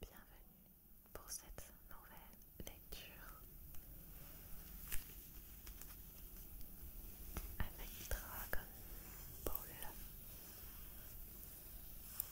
Bienvenue pour cette nouvelle lecture avec Dragon Ball,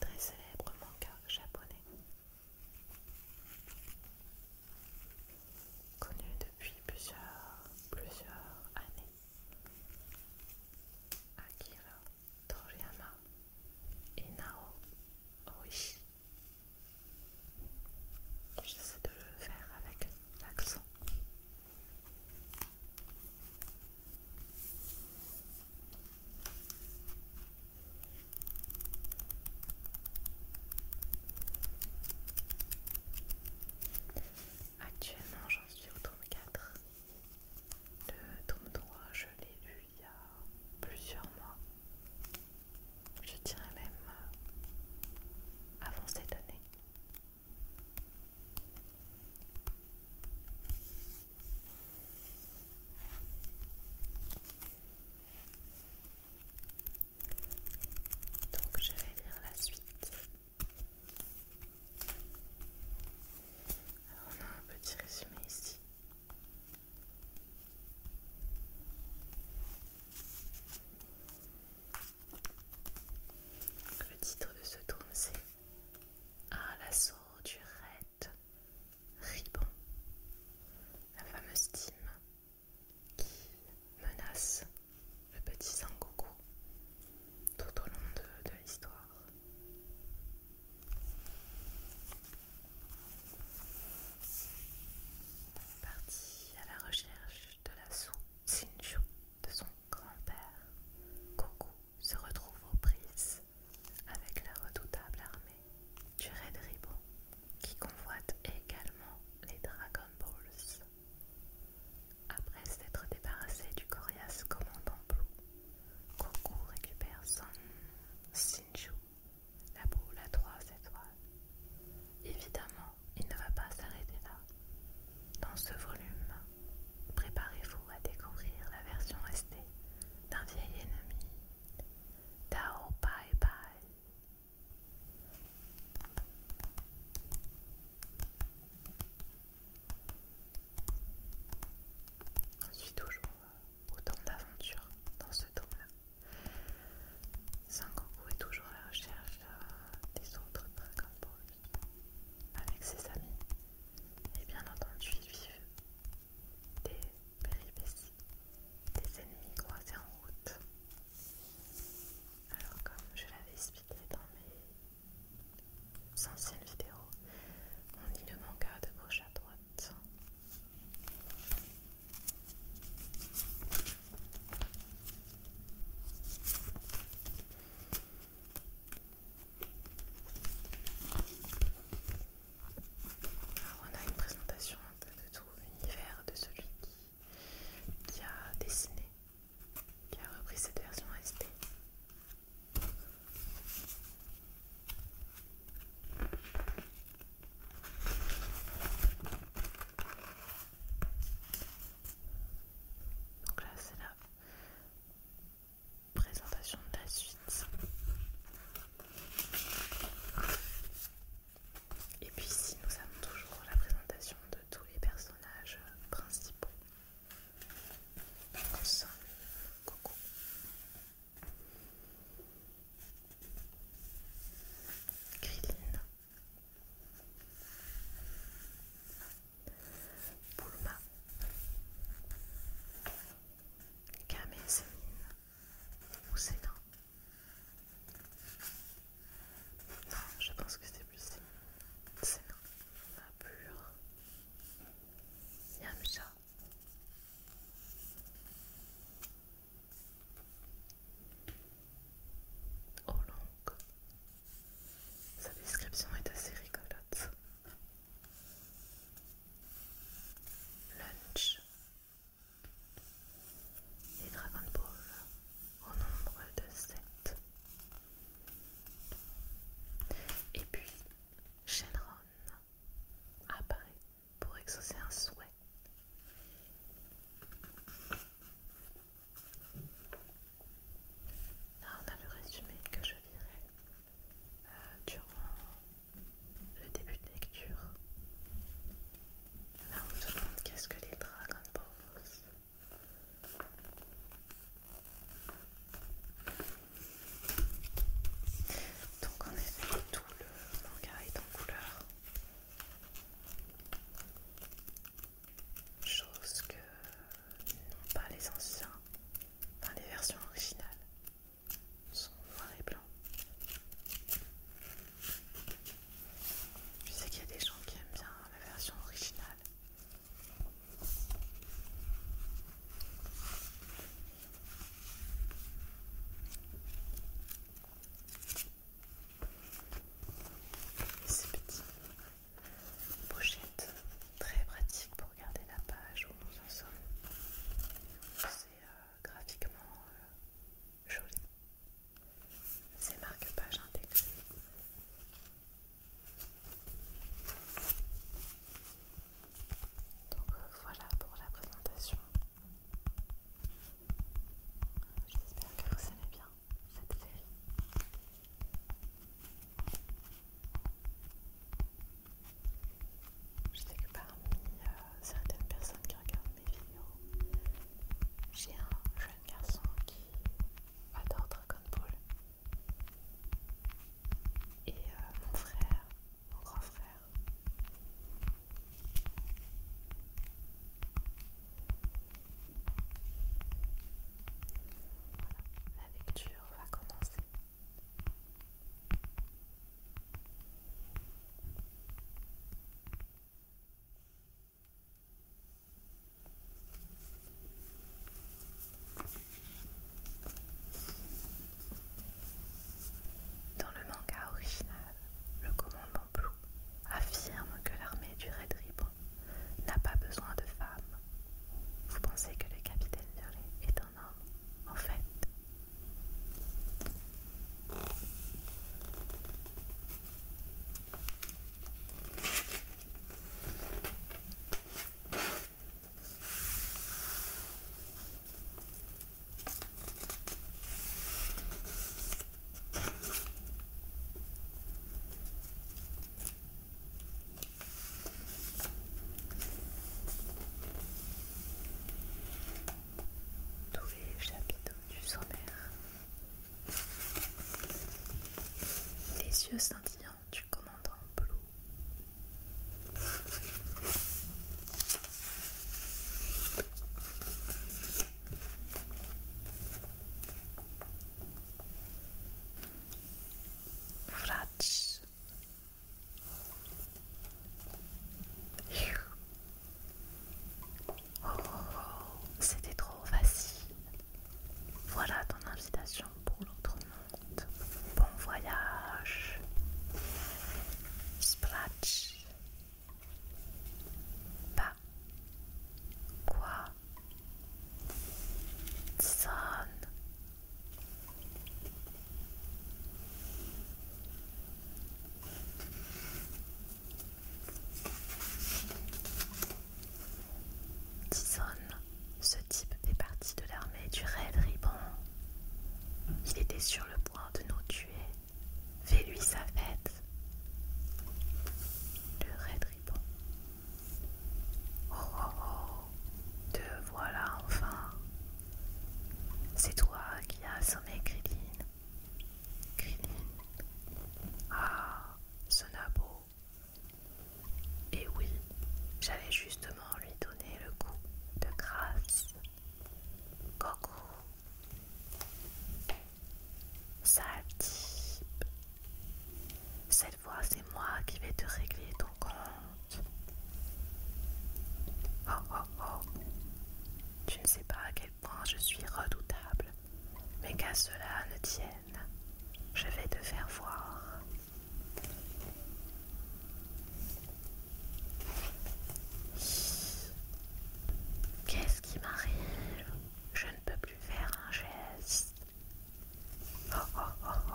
très célèbre manga japonais, connu depuis plusieurs, plusieurs années. Akira Toriyama et Nao Oishi. J'essaie de le faire avec l'accent. Actuellement, j'en suis au tome 4. Le tome 3, je l'ai lu il y a plusieurs mois. Je dirais même euh, avant cette année. Donc je vais lire la suite. Alors on a un petit résumé ici. Le titre de ce tome c'est Ah l'assaut du raid Ribon, la fameuse team qui menace le petit Goku tout au long de, l'histoire. Parti à la recherche de la Sou sinchu de son grand-père, Goku se retrouve aux prises avec la redoutable armée du Red Ribbon qui convoite également les Dragon Balls. Après s'être débarrassé du coriace commandant Blue, Goku récupère son Shinju, la boule à trois étoiles. Évidemment, il ne va pas s'arrêter là. Dans ce volume, préparez-vous à découvrir la version restée d'un vieil ennemi, Tao Pai Pai. On suit toujours autant d'aventures dans ce temps là Sangoku est toujours à la recherche euh, des autres dragons pour avec ses amis. Et bien entendu, ils vivent des péripéties, des ennemis croisés en route. Alors, comme je l'avais expliqué dans mes anciennes vidéos, on lit le manga de gauche à droite. on a une présentation un peu de tout l'univers de celui qui a dessiné qui a repris cette version ST. Donc là, c'est la présentation de la suite. Et puis ici, nous avons toujours la présentation de tous les personnages principaux. Pense. coco, Grilline. Boulma. Camille Sémine. Ou Sénat. Non, je pense que c'est c'est ma pure Yamcha. Oh Sa description est assez rigolote. Lunch. Les Dragon Ball au nombre de 7. Et puis Shenron apparaît pour exaucer un souhait. Là, on a le résumé que je lirai euh, durant le début de lecture. Là, on se demande qu'est-ce que les Dragon Balls donc en effet tout le manga est en couleur. Chose que n'ont pas les anciens, enfin les versions originales sont noir et blanc. Je sais qu'il y a des gens qui aiment bien la version originale ces petites pochettes très pratiques pour garder la page où nous en sommes. C'est euh, graphiquement euh, joli. Ces marque-pages intégrées donc voilà pour la présentation. J'espère que vous aimez bien cette série. Je sais que parmi euh, certaines personnes qui regardent mes vidéos, j'ai un jeune garçon qui adore Dragon Ball et euh, mon frère, mon grand frère. Voilà, la lecture va commencer. Dans le manga original, le commandant Blue affirme que l'armée du Red Ribbon n'a pas besoin de femmes. Vous pensez que le capitaine Violet est un homme En fait, tous les chapiteaux du sommaire. Les yeux scintillants tu du en bleu. Oh, oh, oh, c'était trop facile. Voilà ton invitation pour l'autre monde. Bon voyage. Splatch. Pas. Quoi. Sonne. Tison, ce type fait partie de l'armée du Red Ribbon. Il était sur le point de nous tuer. Fais-lui sa fête. Le Red Ribbon. Oh oh oh, te voilà enfin. C'est toi qui as sommé, Krillin Krillin Ah, ce nabo. Et oui, j'allais justement lui donner le coup de grâce. Coco. Sale type. Cette fois, c'est moi qui vais te régler ton compte. Oh oh oh. Tu ne sais pas à quel point je suis redoutable. Mais qu'à cela ne tienne, je vais te faire voir. Qu'est-ce qui m'arrive Je ne peux plus faire un geste. Oh, oh, oh, oh.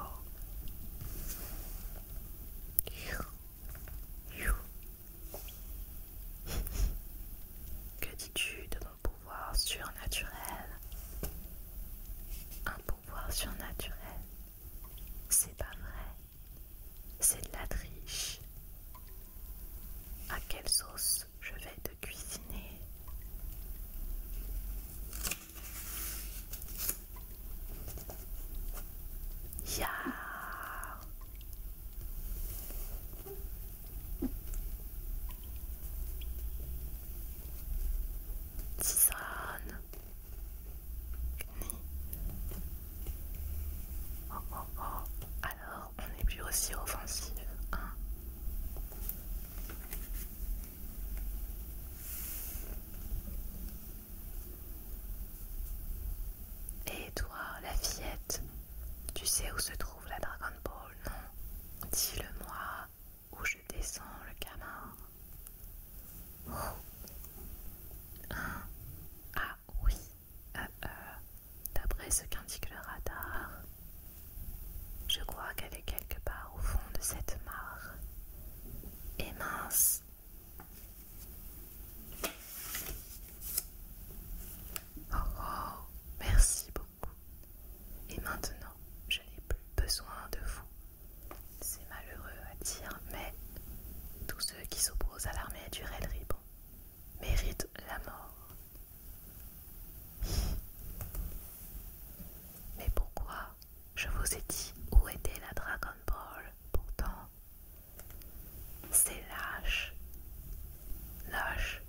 que dis-tu de mon pouvoir surnaturel surnaturel. C'est pas vrai. C'est de la triche. À quelle sauce je vais te cuisiner tisane, Oh oh oh, alors on n'est plus aussi offensif, hein. Et toi, la fillette, tu sais où se trouve la Dragon Ball, non Dis-le-moi où je descends le canard. Ah oui, euh, euh, d'après ce qu'indique le radar, je crois qu'elle est quelque part au fond de cette mare. Et mince. Oh, oh, merci beaucoup. Et maintenant, je n'ai plus besoin de vous c'est malheureux à dire, mais tous ceux qui s'opposent à l'armée du Red Ribbon méritent la mort. Mais pourquoi je vous ai dit où était la Dragon Ball pourtant C'est lâche. Lâche,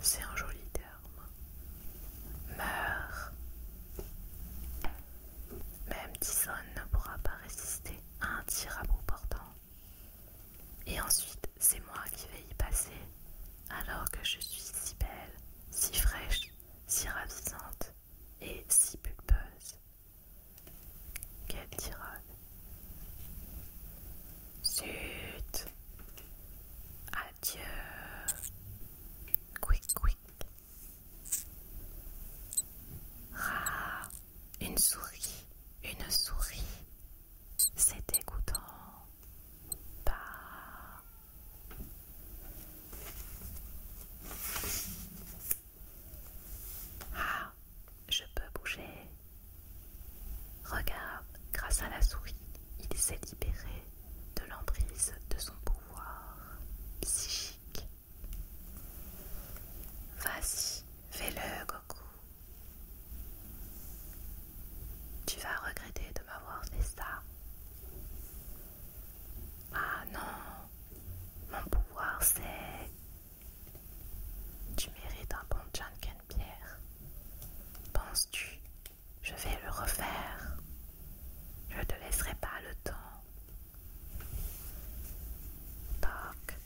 c'est un joli terme. Meurs. Même Tison ne pourra pas résister à un tir à portant. Et ensuite, c'est moi qui vais y passer, alors que je suis si belle, si fraîche, si ravissante et si pulpeuse. Quelle tirade! Zut! Adieu. Quick, quick. Ah, une souris, une souris. C'est dégoûtant. Bah. je peux bouger. Regarde, grâce à la souris, il s'est libéré de l'emprise de son pouvoir psychique. Vas-y, fais-le, Goku. Tu vas regretter de m'avoir fait ça. Ah non, mon pouvoir c'est... Tu mérites un bon Janken, Pierre. Penses-tu je vais le refaire. Je ne te laisserai pas le temps. Poc.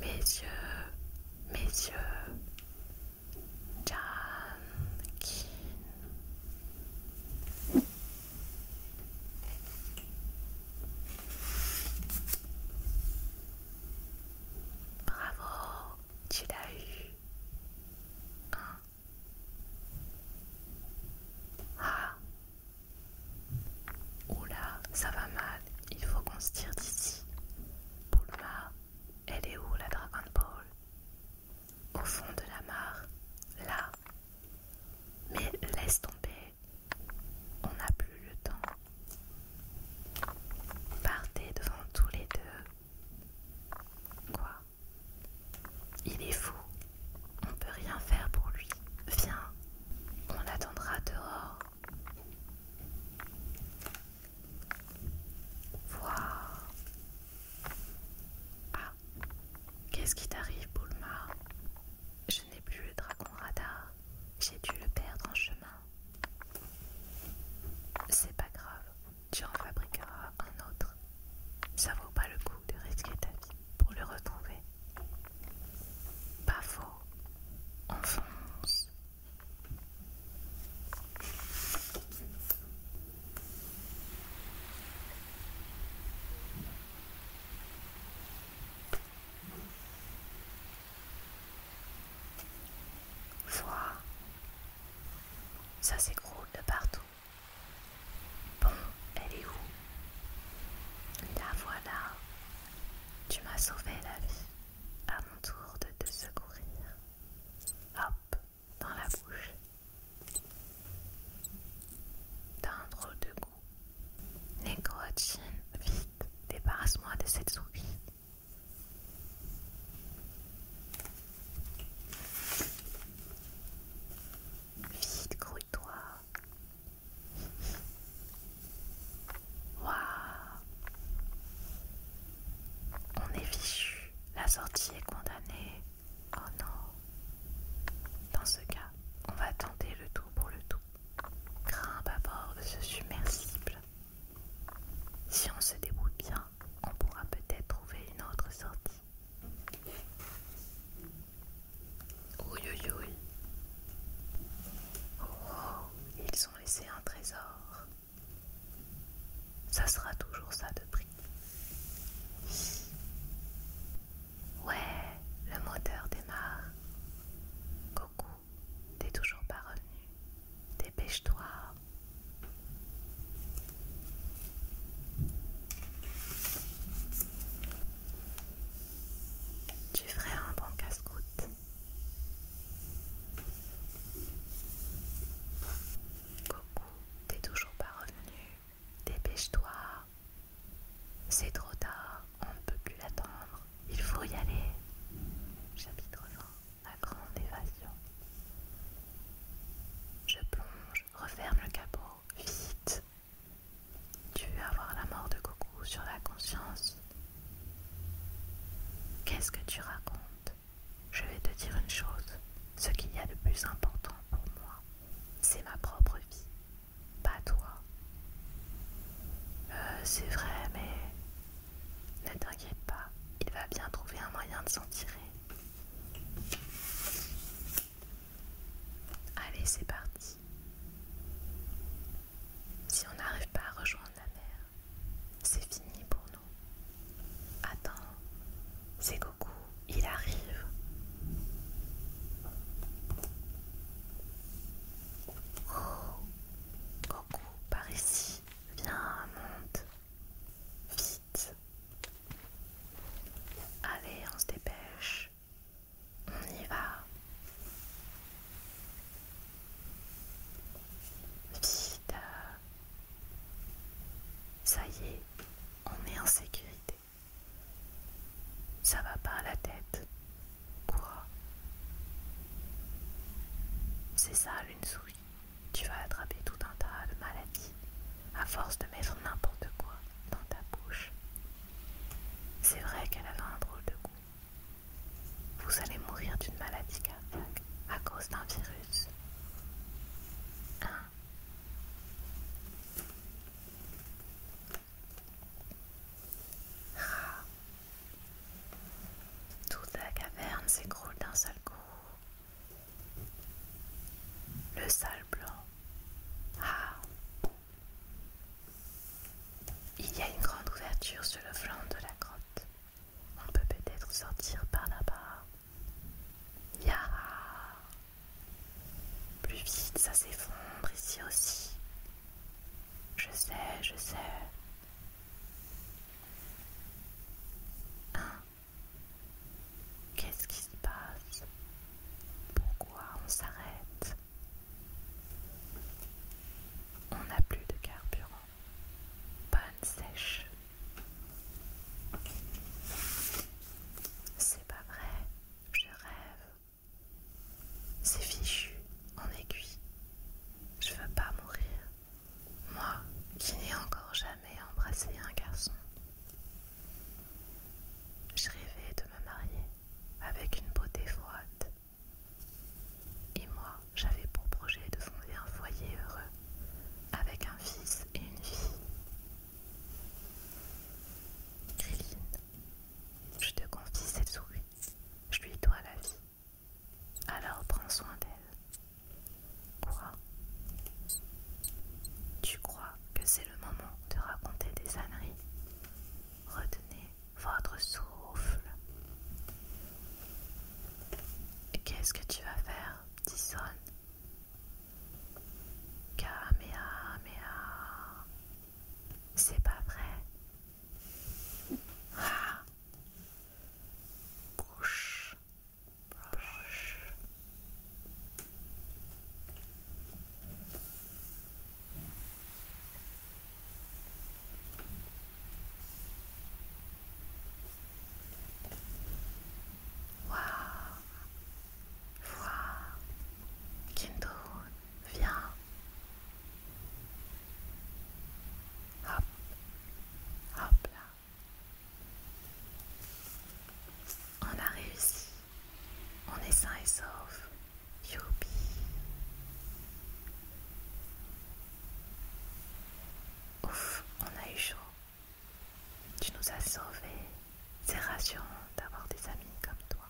Mes yeux, mes yeux. Bravo tu l'as eu. Hein? Ah Oula, ça va mal, il faut qu'on se tire d'ici. Poulma, elle est où la Dragon Ball Au fond de la mare, là. Mais laisse tomber, on n'a plus le temps. Partez devant tous les deux Quoi Il est fou. On peut rien faire pour lui. Viens, on attendra dehors. Voir. Ah, qu'est-ce qui t'arrive, Bulma Je n'ai plus le dragon radar. J'ai dû le perdre en chemin. C'est pas grave tu en fabriqueras un autre. Ça vaut pas le coup de risquer ta vie pour le retrouver. Pas faux, Enfonce. Ça s'écroule de partout. Bon, elle est où La voilà. Tu m'as sauvé la vie. À mon tour de te secourir. Hop, dans la bouche. D'un drôle de goût. les vite, débarrasse-moi de cette souris. Vite, grouille-toi. Waouh On est fichu. La sortie est condamnée. Oh non Dans ce cas, on va tenter le tout pour le tout. Grimpe à bord de ce submersible. Si on se débrouille bien, on pourra peut-être trouver une autre sortie. Oh, oh, ils ont laissé un trésor. Ça sera toujours ça de prix. Ouais, le moteur démarre. Coucou, t'es toujours pas revenu. Dépêche-toi, tu ferais un bon casse-croûte. Coucou, t'es toujours pas revenu. Dépêche-toi. C'est trop tard, on ne peut plus l'attendre. Il faut y aller. Chapitre 20 la grande évasion. Je plonge, referme le capot, vite. Tu veux avoir la mort de Goku sur la conscience Qu'est-ce que tu racontes Je vais te dire une chose. Ce qu'il y a de plus important pour moi, c'est ma propre vie, pas toi. Euh, c'est vrai, mais ne t'inquiète pas, il va bien trouver un moyen de s'en tirer. Allez, c'est parti. Si on n'arrive pas à rejoindre la mer, c'est fini pour nous. Attends, c'est Coucou, il arrive. Oh, Goku, par ici, viens, monte. Vite, Allez, on se dépêche. On y va. Vite. Ça y est, on est en sécurité. Ça va pas à la tête. Quoi C'est ça l'une souris tu vas attraper tout un tas de maladies à force de mettre n'importe quoi dans ta bouche. C'est vrai qu'elle avait un drôle de goût. Vous allez mourir d'une maladie cardiaque à cause d'un virus. Hein ah. Toute la caverne s'écroule d'un seul coup le sale blanc. Ah Il y a une grande ouverture sur le flanc de la grotte. On peut peut-être sortir par là-bas. Ya Plus vite, ça s'effondre ici aussi. Je sais, je sais. Qu'est-ce qui se passe Pourquoi on s'arrête On n'a plus de carburant. Panne sèche. C'est pas vrai, je rêve. C'est fichu, en aiguille, Je veux pas mourir moi qui n'ai encore jamais embrassé un garçon. Je rêvais de me marier avec une beauté froide. Et moi, j'avais pour projet de fonder un foyer heureux avec un fils et une fille. je te confie cette souris. Je lui dois la vie. Alors prends soin d'elle. Quoi Tu crois que c'est le moment de raconter des âneries Retenez votre souffle. Qu'est-ce que tu vas faire, Kamea mea. C'est pas vrai. Ah. Bouche Proche Wow, wow, Kendo, viens. Hop, hop là. On a réussi. On est sain et saufs Youpi. Ouf, on a eu chaud. Tu nous as sauvés. C'est rassurant d'avoir des amis comme toi.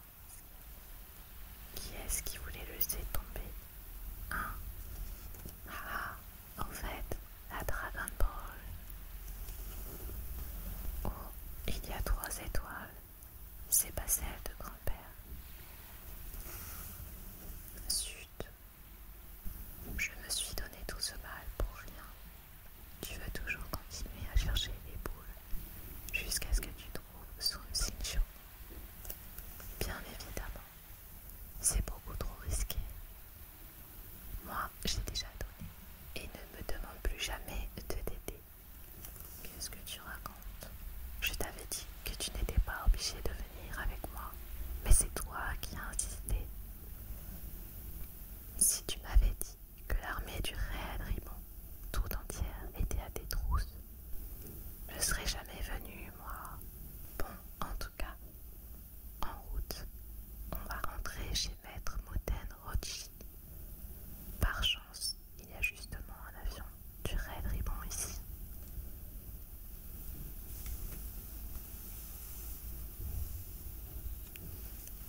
Qui est-ce qui voulait le laisser tomber Hein ah, ah. En fait, la Dragon Ball, Oh, il y a trois étoiles, c'est pas celle de grand-père. Zut, je me suis donné tout ce mal pour rien. Tu veux toujours continuer à chercher les boules jusqu'à ce que tu trouves Sun Sincho. Bien évidemment, c'est beaucoup trop risqué. Moi, j'ai déjà donné. Et ne me demande plus jamais de t'aider. Qu'est-ce que tu racontes Je t'avais dit que tu n'étais pas obligé de venir avec moi. Mais c'est toi qui as insisté. Si tu m'avais dit que l'armée du réel tout entière, était à tes trousses, je ne serais jamais venue, moi. Bon, en tout cas, en route, on va rentrer chez Maître Moten rodji Par chance, il y a justement un avion du Red Ribbon ici.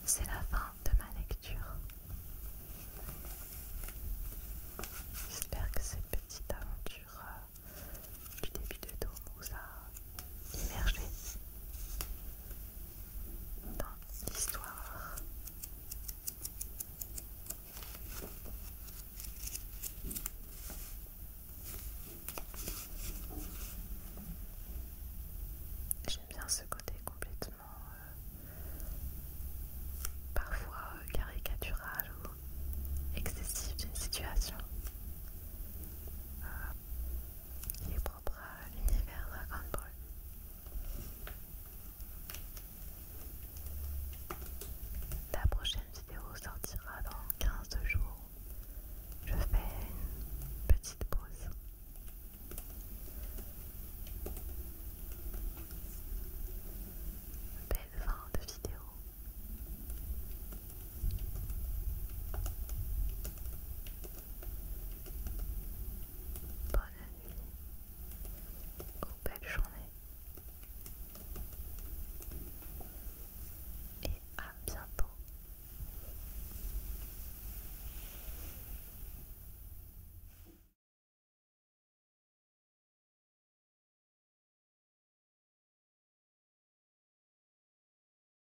C'est la fin de ma lecture. J'espère que cette petite aventure euh, du début de Tour vous immergé dans l'histoire. J'aime bien ce côté complètement euh, parfois euh, caricatural ou excessif d'une situation. Euh, L'univers à l'univers La prochaine vidéo sortira dans 15 jours. Je fais une petite pause. Belle fin de vidéo. Bonne nuit belle journée et à bientôt.